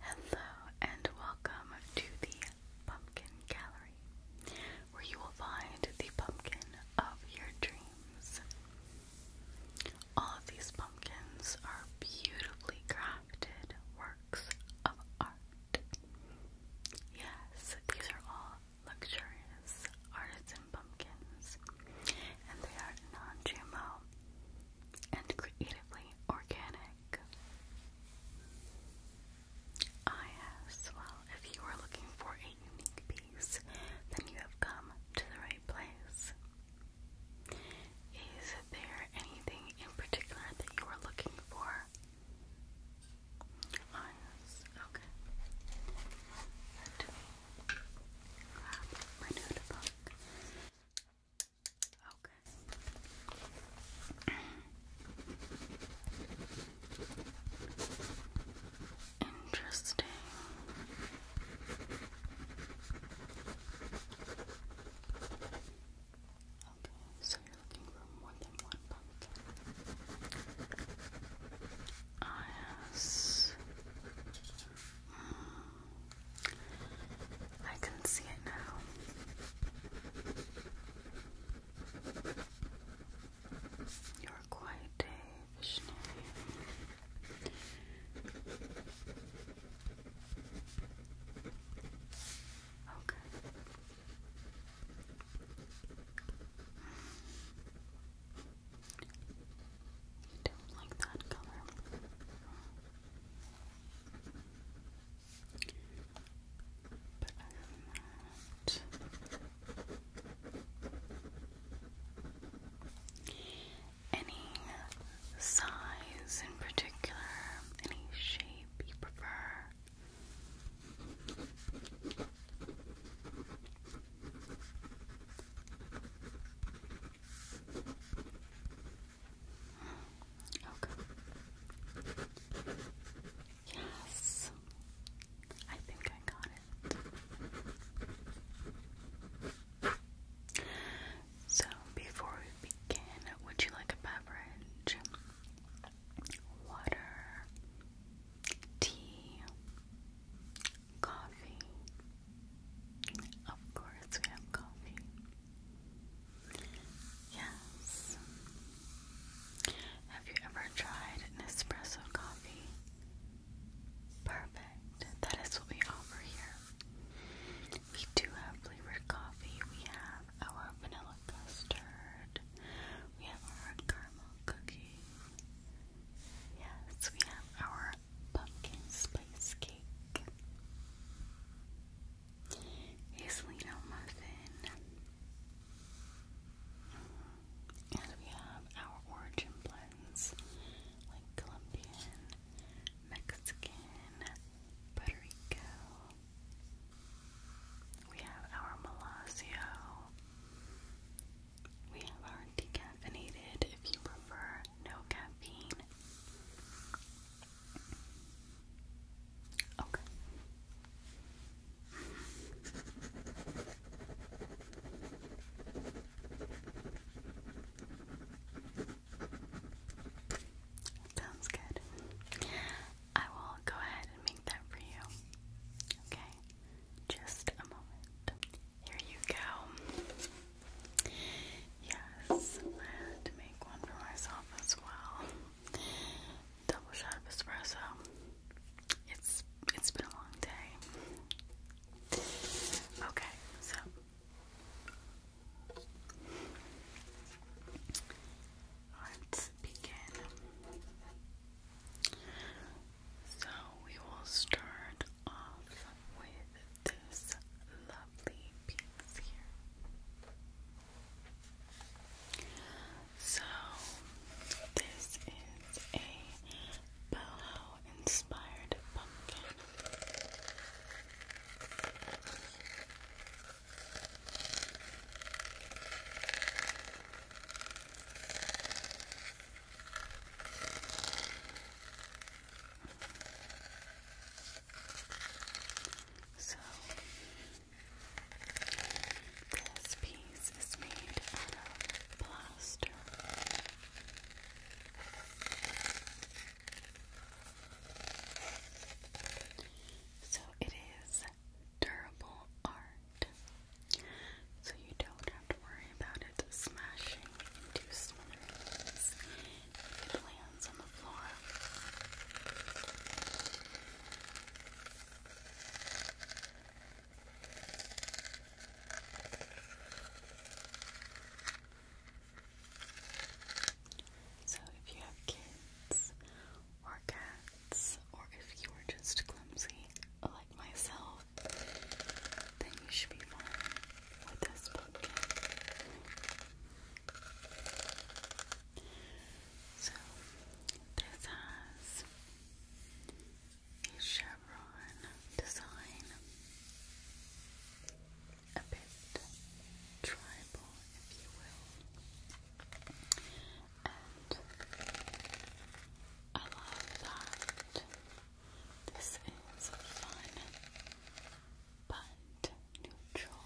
Hello and welcome to the Pumpkin Gallery, where you will find the pumpkin of your dreams. All of these pumpkins are beautifully crafted works of art. Yes, these are all luxurious artisan pumpkins, and they are non GMO and creatively organic. Ah, yes, well, if you are looking for a unique piece, then you have come to the right place. Is there anything in particular that you are looking for? yes. Okay. my notebook. Okay. Interesting. Okay, so you're looking for more than one pumpkin. yes. I can see it now. Your quiet day visionary. Okay. You don't like that color. But other than that, any size in particular, any shape you prefer. Okay. Yes. I think I got it. So, before we begin, would you like a beverage? Water, tea, coffee, of course, we have coffee. Yes. Have you ever tried Nespresso coffee? Perfect. That is what we offer here. We do have flavored coffee. We have our vanilla custard. We have our caramel cookie. Yes, we have our pumpkin spice cake, hazelnut muffin, and we have our origin blends like Colombian, Mexican, Puerto Rico. We have our Malazio. We have our decaffeinated if you prefer no caffeine. Okay. Sounds good. I will go ahead and make that for you. Okay? Just a moment. Here you go. Yes, I had to make one for myself as well. Double shot of espresso. It's it's been a long day. Okay, so let's begin. So we will start off with this lovely piece here. So, this is a boho inspired pumpkin. So, this piece is made out of plaster. So, it is durable art. So, you don't have to worry about it smashing into smithereens so, if you have kids or cats, or if you are just clumsy like myself, then you should be fine with this book. So this has a chevron design, a bit tribal, if you will, and I love that. This is fun but neutral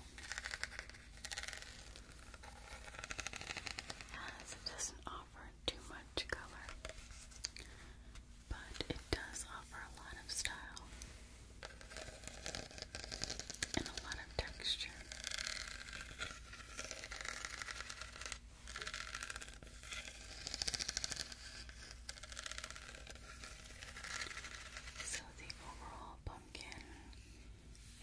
as it doesn't offer too much color but it does offer a lot of style and a lot of texture so the overall pumpkin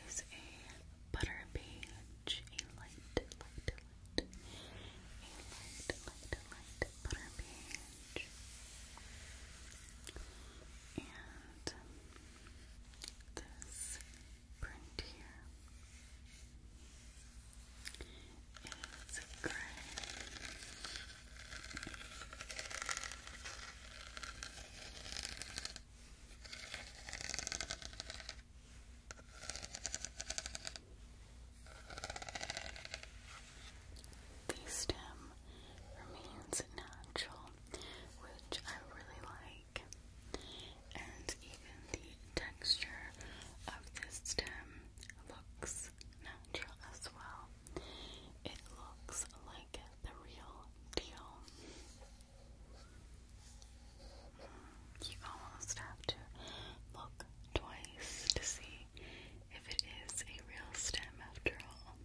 is a butter beige, a light, light, light, a light, light, light butter beige, and this print here is gray. The stem remains natural, which I really like, and even the texture of this stem looks natural as well it looks like the real deal. Hmm, you almost have to look twice to see if it is a real stem after all.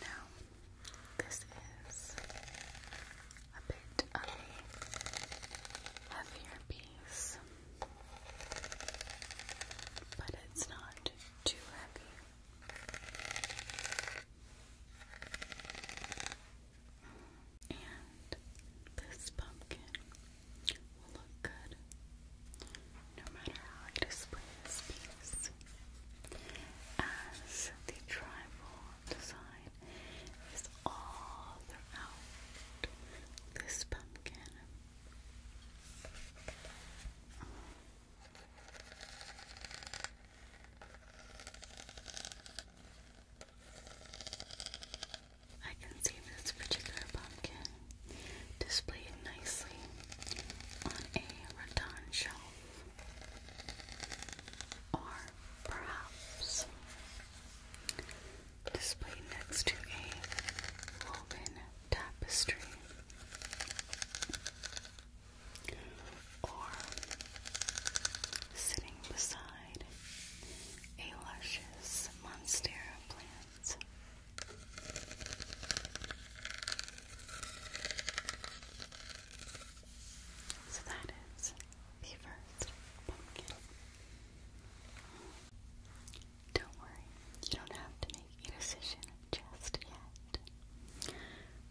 Now, this is a bit of a heavier piece, but it's not too heavy. And this pumpkin will look good no matter how I display this piece as the tribal design is all throughout this pumpkin. I can see this particular pumpkin displayed nicely on a rattan shelf, or perhaps displayed next to a woven tapestry, or sitting beside a luscious monstera plant. So that is the first pumpkin. Don't worry, you don't have to make a decision just yet.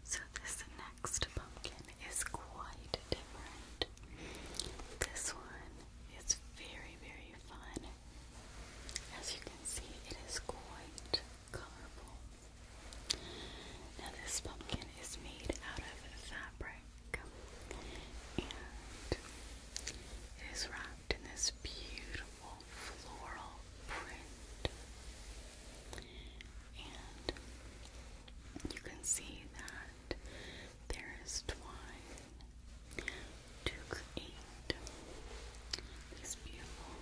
So, this next pumpkin is quite different. This one is very, very fun as you can see, it is quite colorful. Now, this pumpkin is made out of fabric and it is wrapped in this beautiful floral print. And you can see that there is twine to create this beautiful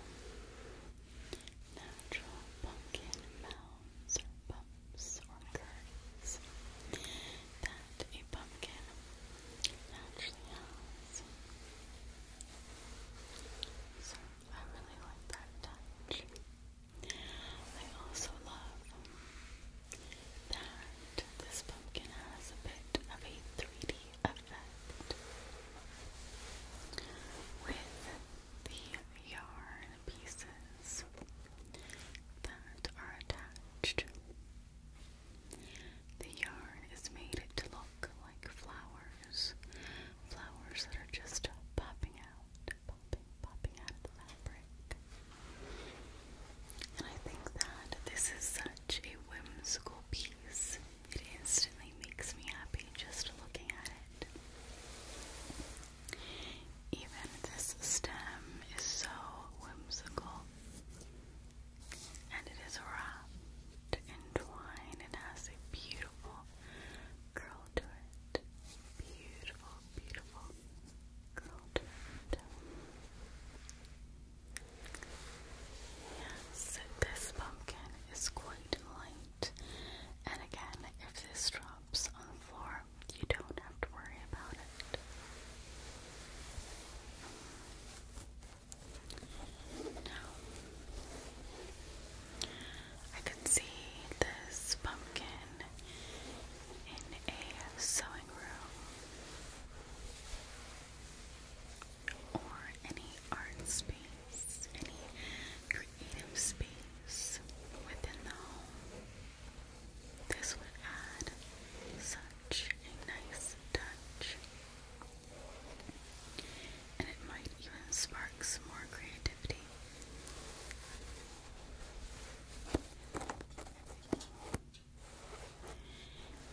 natural pumpkin mounds or bumps or curves that a pumpkin naturally has. So I really like that touch. I also love that this pumpkin has a bit of a 3D with the yarn pieces that are attached. The yarn is made to look like flowers, flowers that are just popping out, popping, popping out of the fabric. And I think that this is such a whimsical piece. It instantly makes me happy just looking at it. Even this stem is so whimsical. And it is wrapped in twine has a beautiful curl to it. Beautiful, beautiful curl to it. Yes, this pumpkin is quite light, and again, if this drops on the floor, you don't have to worry about it. Now, I can see this pumpkin in a sewing room or any art space, any creative space within the home. This would add such a nice touch. And it might even spark some more creativity.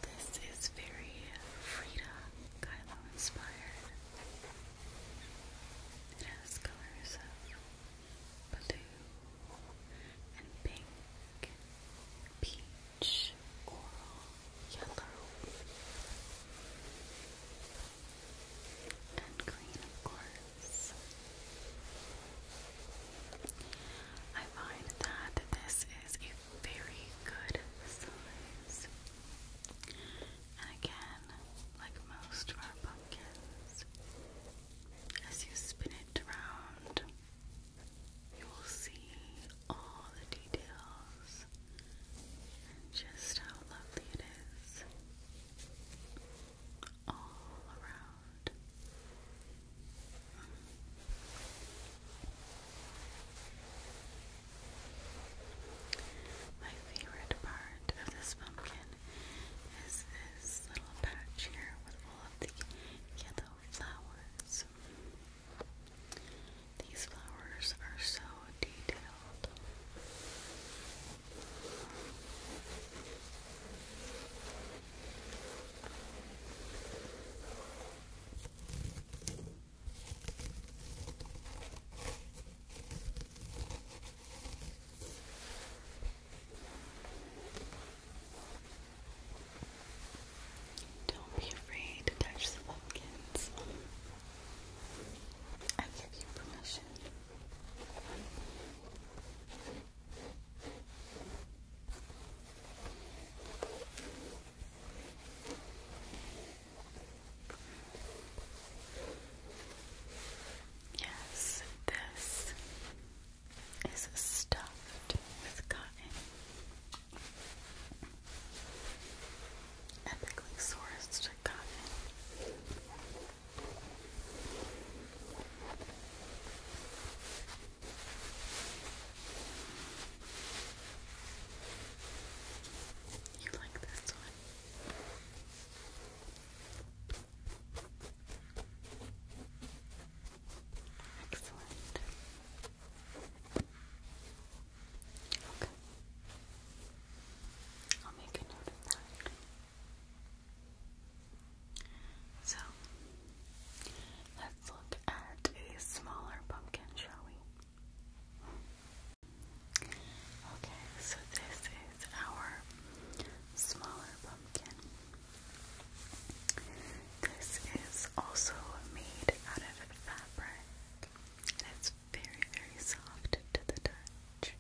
This is very Frida Kahlo inspired. It has colors of blue and pink, peach, coral, yellow, and green, of course. I find that this is a very good size. And again, like most of our pumpkins, as you spin it around, you will see all the details and just how lovely it is all around. My favorite part of this pumpkin is this little patch here with all of the yellow flowers. These flowers are so detailed. Don't be afraid to touch the pumpkins. I give you permission. Yes, this is stuffed with cotton. Ethically sourced cotton. You like this one? Excellent. Okay. I'll make a note of that. So, let's look at a smaller pumpkin, shall we? Okay, so this is our smaller pumpkin. This is also made out of fabric. It's very, very soft to the touch.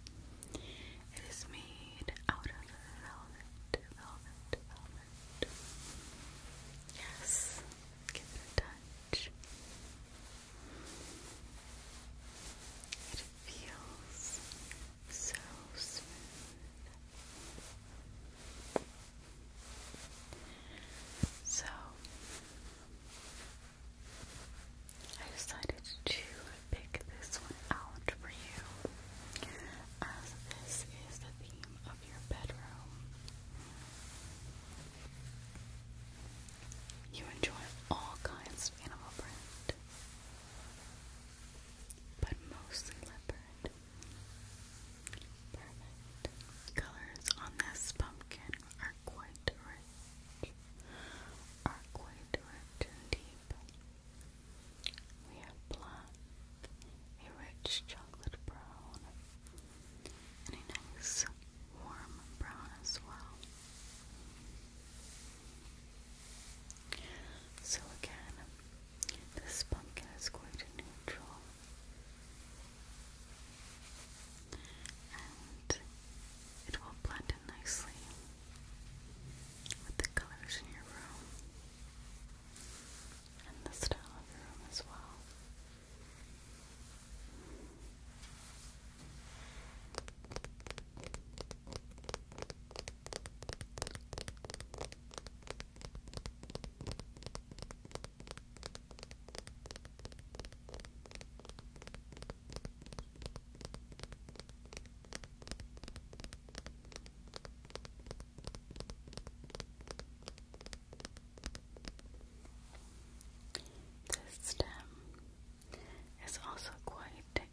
It is made out of velvet, velvet, velvet. Yes, give it a touch. It feels so smooth. So, I decided to pick this one out for you as this is the theme bathroom of your bedroom. You enjoy all kinds of animal print, but mostly leopard. Perfect. Colors on this pumpkin are quite rich, are quite rich and deep. We have black, a rich chocolate brown, and a nice warm brown as well. So again, this pumpkin is quite neutral, and it will blend in nicely with the colors in your room and the style of the room as well. This stem is also quite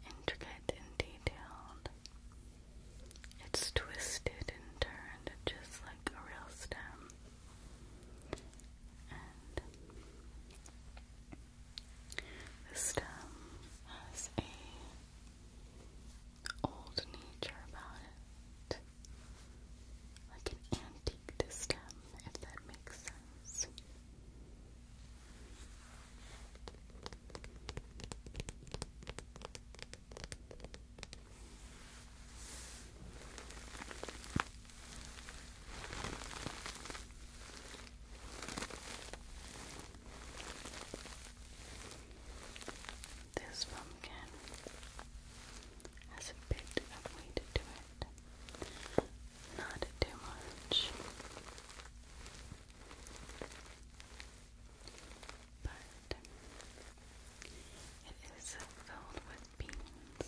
intricate and detailed. It's twisted and turned just like a real stem. And the stem has a old nature about it. Like an antique to if that makes sense. This pumpkin has a bit of weight to it, not too much, but it is filled with beans.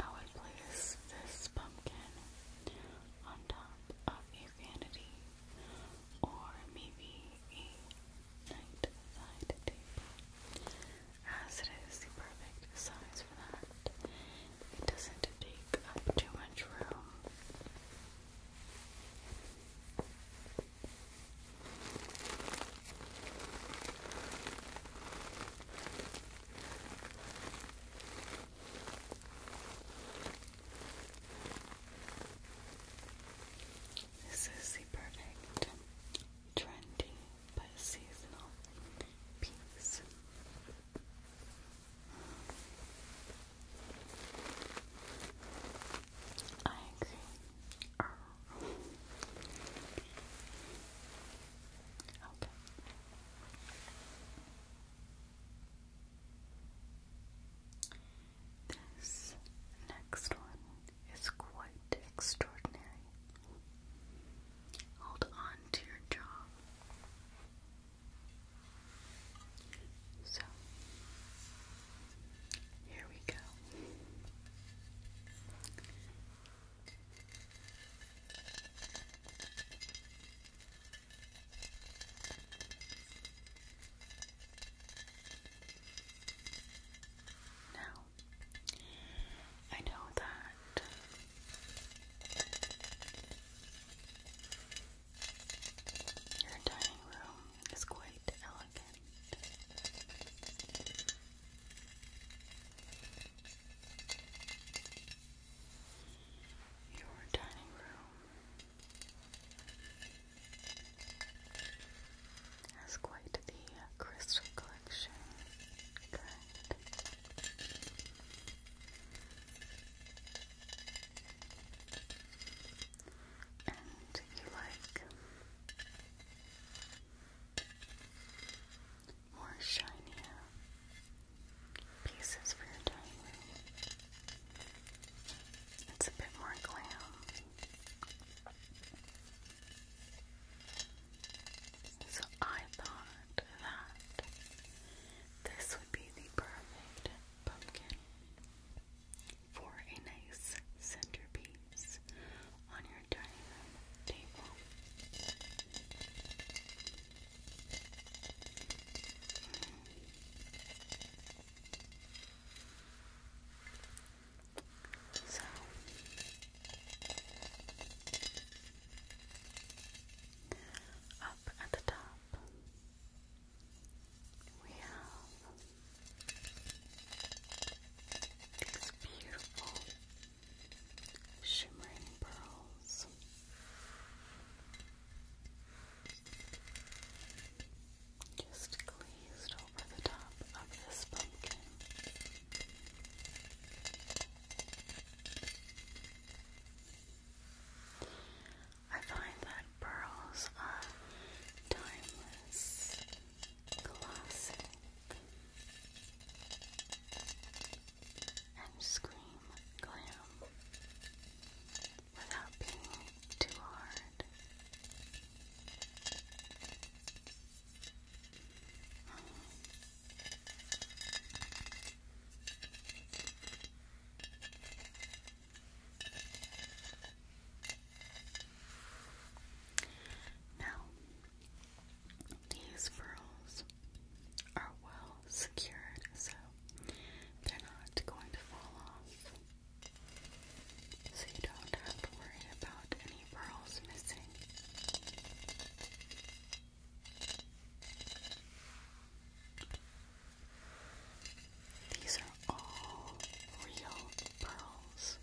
I would place this pumpkin on top of a vanity or maybe a night table as it is the perfect size for that. It doesn't take up too much room. This is the perfect trendy but seasonal piece. I agree. okay. This next one is quite extraordinary. Hold on to your jaw. So, here we go. Now, I know that your dining room is quite elegant. Your dining room has quite the crystal collection and you like more shinier pieces for your dining It's a bit more glam. So I thought that this would be the perfect pumpkin for a nice centerpiece on your dining room table. So up at the top we have these beautiful shimmering pearls. Just glazed over the top of this pumpkin. I find that pearls are timeless Classic and scream glam without being too hard. Now, these pearls are well secured, so they're not going to fall off. So you don't have to worry about any pearls missing. These are all real pearls.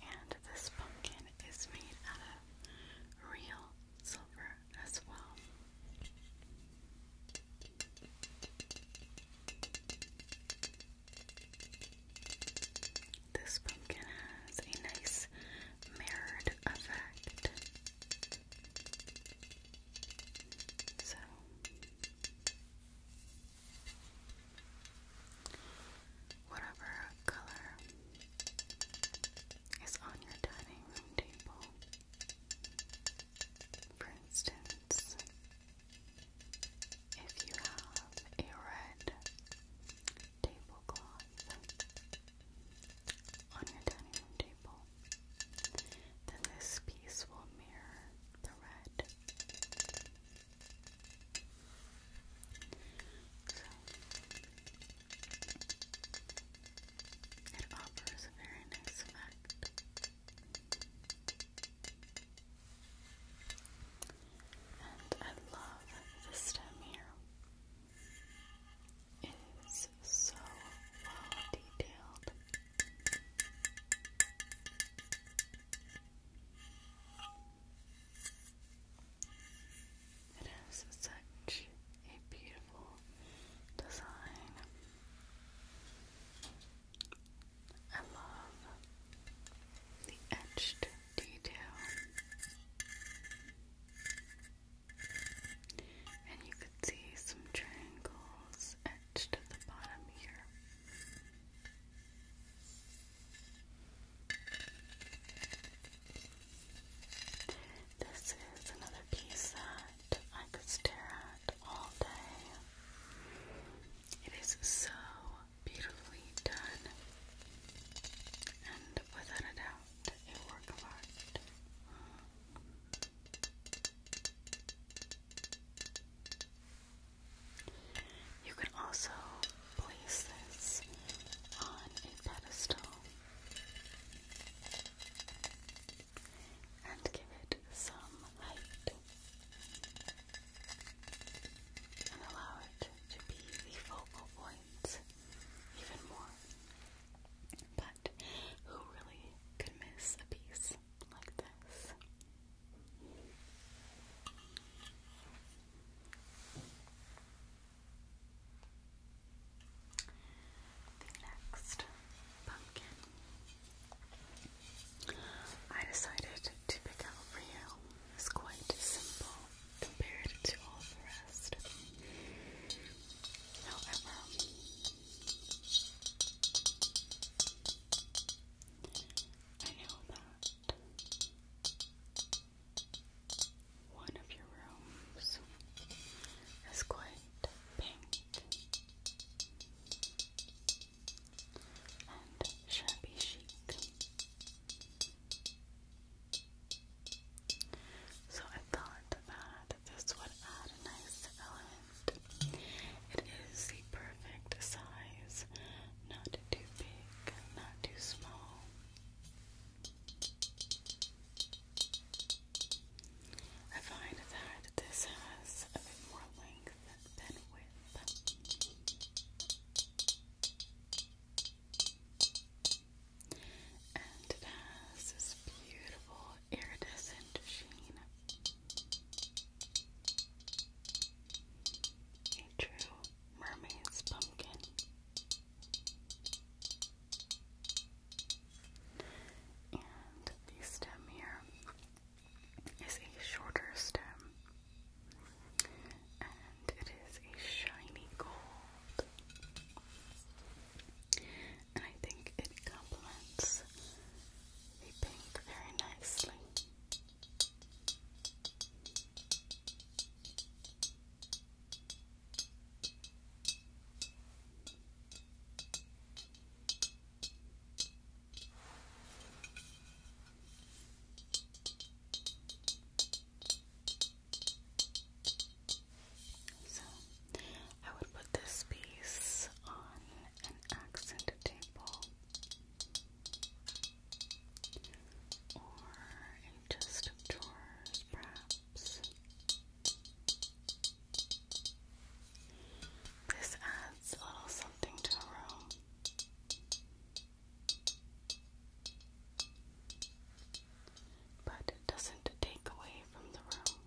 And this pumpkin is made out of real silver as well. This pumpkin has a nice mirrored effect. So whatever color is on your dining room table. For instance, if you have a red tablecloth on your dining room table, then this piece will mirror the red. So, it offers a very nice effect. And I love the stem here. It is so well detailed. It such a beautiful design. I love the etched detail. And you see some triangles etched at the bottom here. This is another piece that I could stare at all day. It is so beautifully done, and without a doubt, a work of art. You can also place this on a pedestal and give it some height and allow it to be the focal point even more. But who really could miss a piece like this? The next pumpkin I decided to pick out for you is quite simple compared to all the rest. However, I know that one of your rooms is quite pink and shabby chic. So I thought that this would add a nice element. It is the perfect size, not too big, not too small. I find that this has a bit more length than width. And it has this beautiful iridescent sheen. A true mermaid's pumpkin. And the stem here is a shorter stem. And it is a shiny gold. I think it complements the pink very nicely. So I would put this piece on an accent table or a chest drawers, perhaps. This adds a little something to a room. But doesn't take away from the room.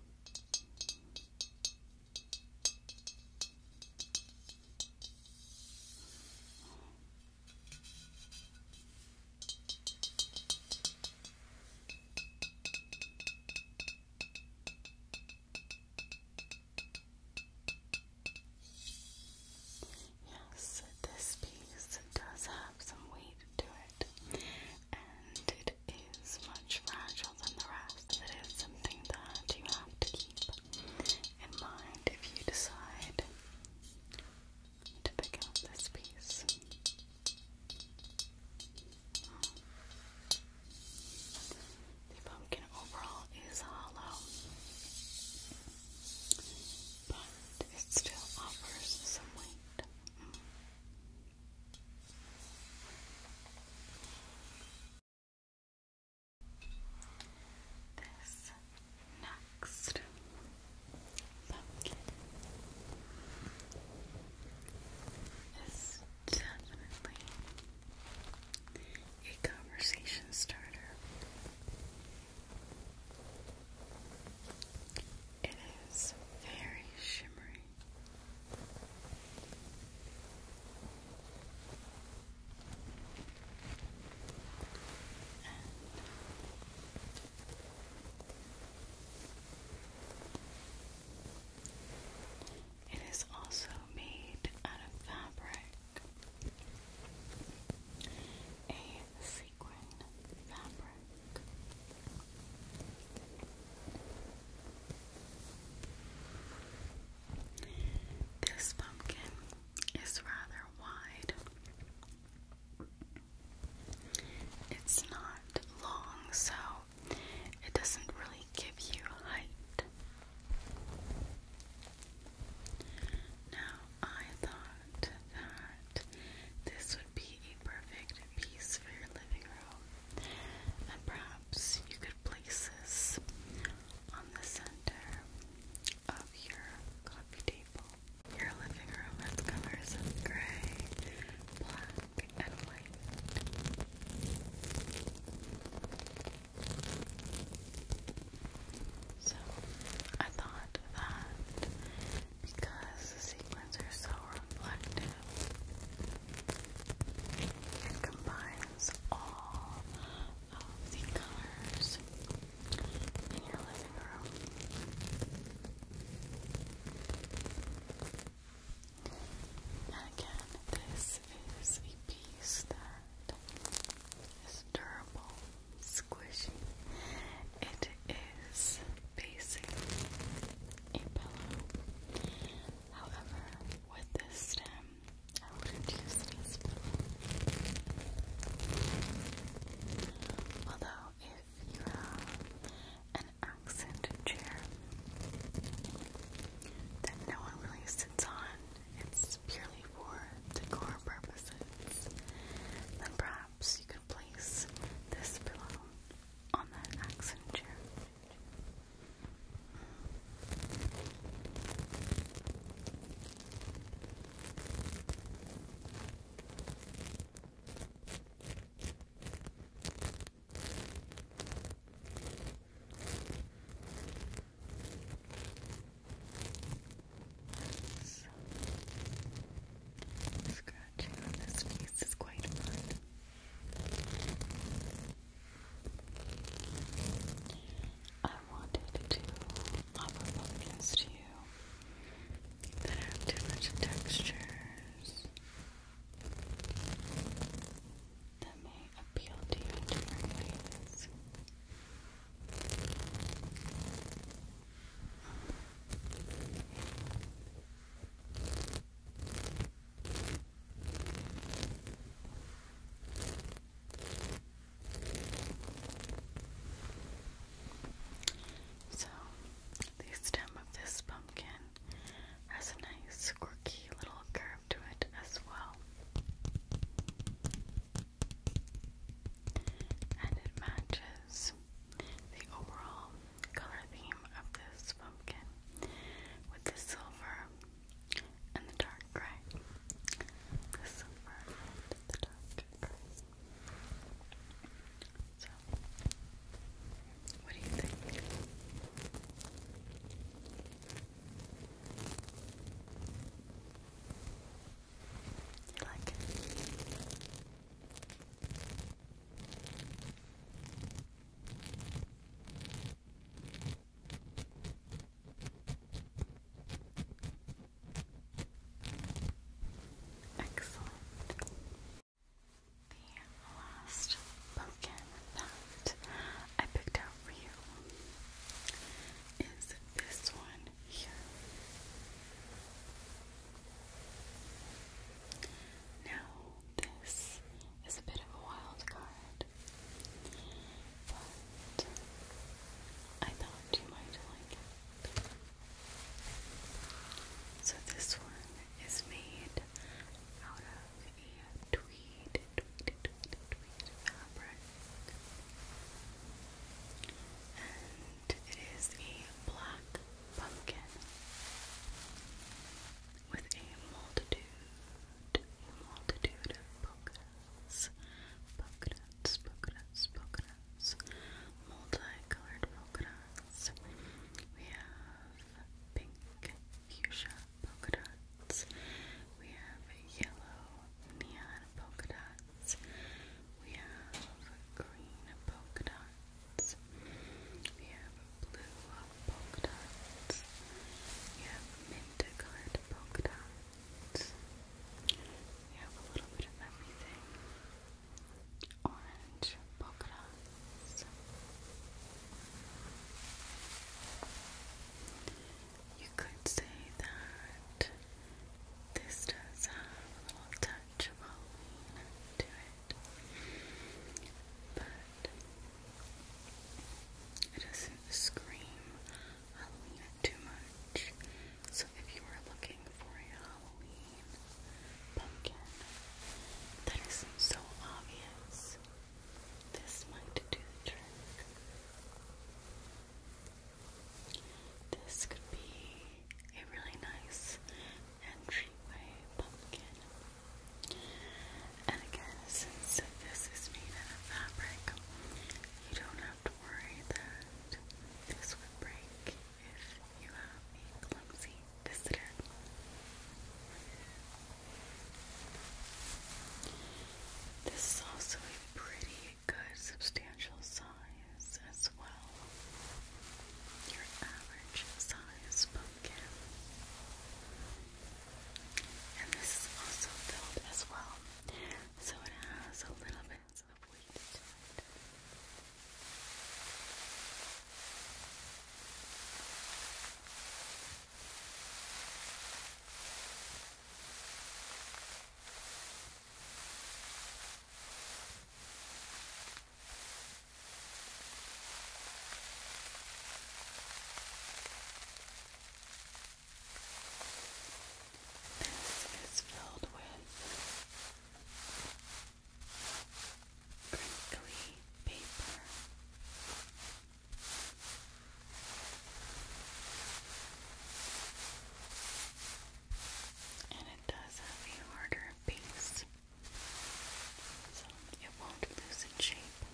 Yes, this piece does have some weight to it and it is much fragile than the rest. It is something that you have to keep in mind if you decide to pick out this piece. The pumpkin overall is hollow, but it still offers some weight. This next is definitely a conversation starter. It is very shimmery and it is also made out of fabric, a sequin fabric. This pumpkin is rather wide. It's not long, so it doesn't really give you height. Now, I thought that this would be a perfect piece for your living room. And perhaps you could place this on the center of your coffee table. Your living room has colors of gray, black, and white. So, I thought that because the sequins are so reflective, it combines all of the colors in your living room. again, this is a piece that is durable, squishy. It is facing a pillow. However, with this stem, I wouldn't use this pillow. Although, if you have an accent chair that no one really sits on, it's purely for decor purposes, then perhaps you could place this pillow on that accent chair. Scratching on this piece is quite fun. I wanted to offer to you that have different textures that may appeal to you in so, the stem of this pumpkin has a nice, quirky little curve to it as well. And it matches the overall color theme of this pumpkin with the silver and the dark gray. The silver and the dark gray. So, what do you think? You like it? Excellent. The last pumpkin that I picked out for you is this one here. Now, this is a bit of a wild card, but I thought you might like it. So this one is made out of a tweed, fabric. And it is a black pumpkin with a multitude, multitude of polka dots, polka dots, polka dots, polka dots, multicolored polka dots. We have pink fuchsia polka dots. We have yellow neon polka dots. We have green polka dots dots. We have blue polka dots. We have mint colored polka dots. We have a little bit of everything. Orange polka dots. You could say that this does have a little touch of Halloween to it but it doesn't scream Halloween too much. So if you are looking for a Halloween pumpkin that isn't so obvious, this might do the trick. This could be a really nice entryway pumpkin and again, since this is made out of fabric, you don't have to worry that this would break if you have a clumsy visitor. This is also a pretty good substantial size as well. Your average size pumpkin. And this is also filled as well. So it has a little bit of weight to it. This is filled with crinkly paper. And it does have a harder base so it won't lose its shape. Okay.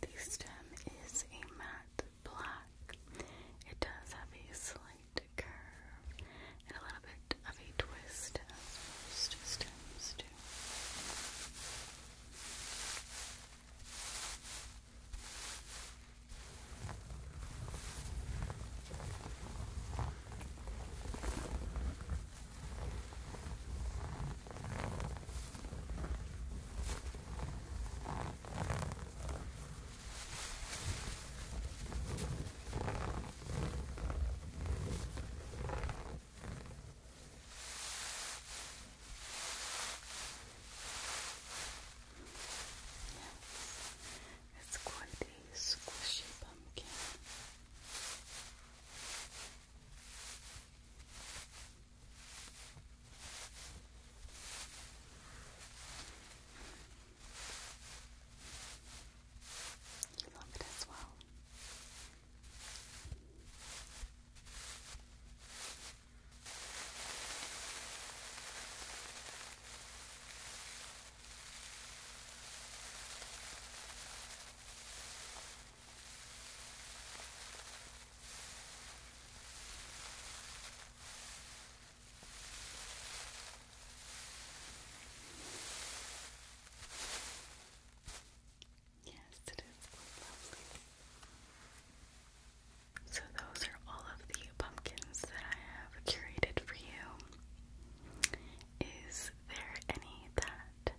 The stem is a matte black. It does have a slight curve and a little bit of a twist, as most stems do. Yes. It's quite a squishy pumpkin. You love it as well. Yes, it is So, those are all of the pumpkins that I have curated for you. Is there any that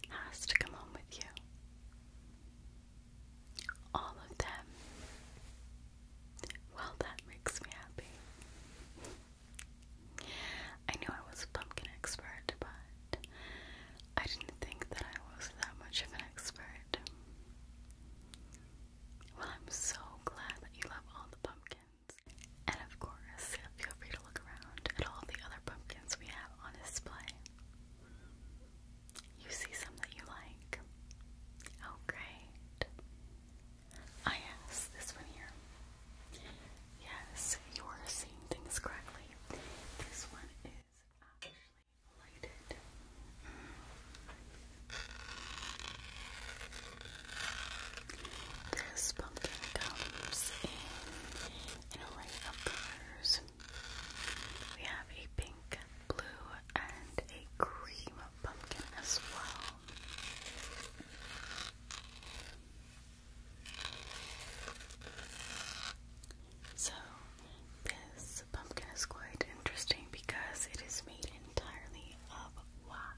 has to come home with you? All of them. Well, that makes me happy. I knew I was a pumpkin expert, but I didn't think that I was that much of an expert. Well, I'm so glad that you love all the pumpkins. And of course, feel free to look around at all the other pumpkins we have on display. You see some that you like. Oh, great. Ah, this one here. Yes, you are seeing things correctly. This one is actually lighted. Mm. This pumpkin comes in an array of colors. We have a pink, blue, and a cream pumpkin as well. So, this pumpkin is quite interesting because it is made entirely of wax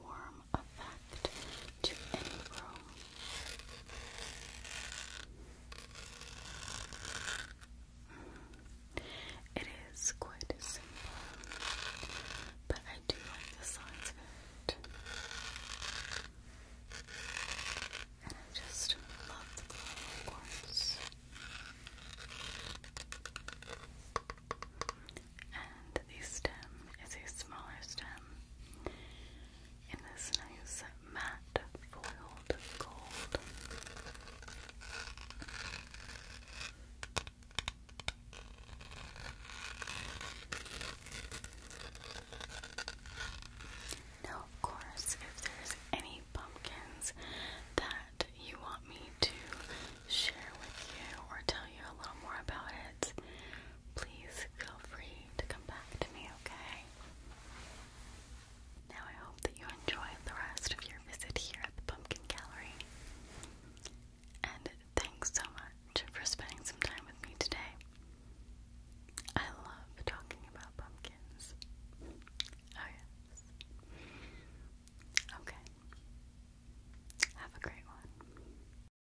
warm effect to any room. It is quite simple, but I do like the sounds of it. And I just love the glow, And the stem is a smaller stem them um, in this nice matte foiled gold. Now, of course, if there's any pumpkins that you want me to share with you or tell you a little more about it, please feel free to come back to me, okay? Now I hope that you enjoy the rest of your visit here at the Pumpkin Gallery. And thanks so much for spending some time with me today. I love talking about pumpkins. Oh, yes. Okay. Have a great one.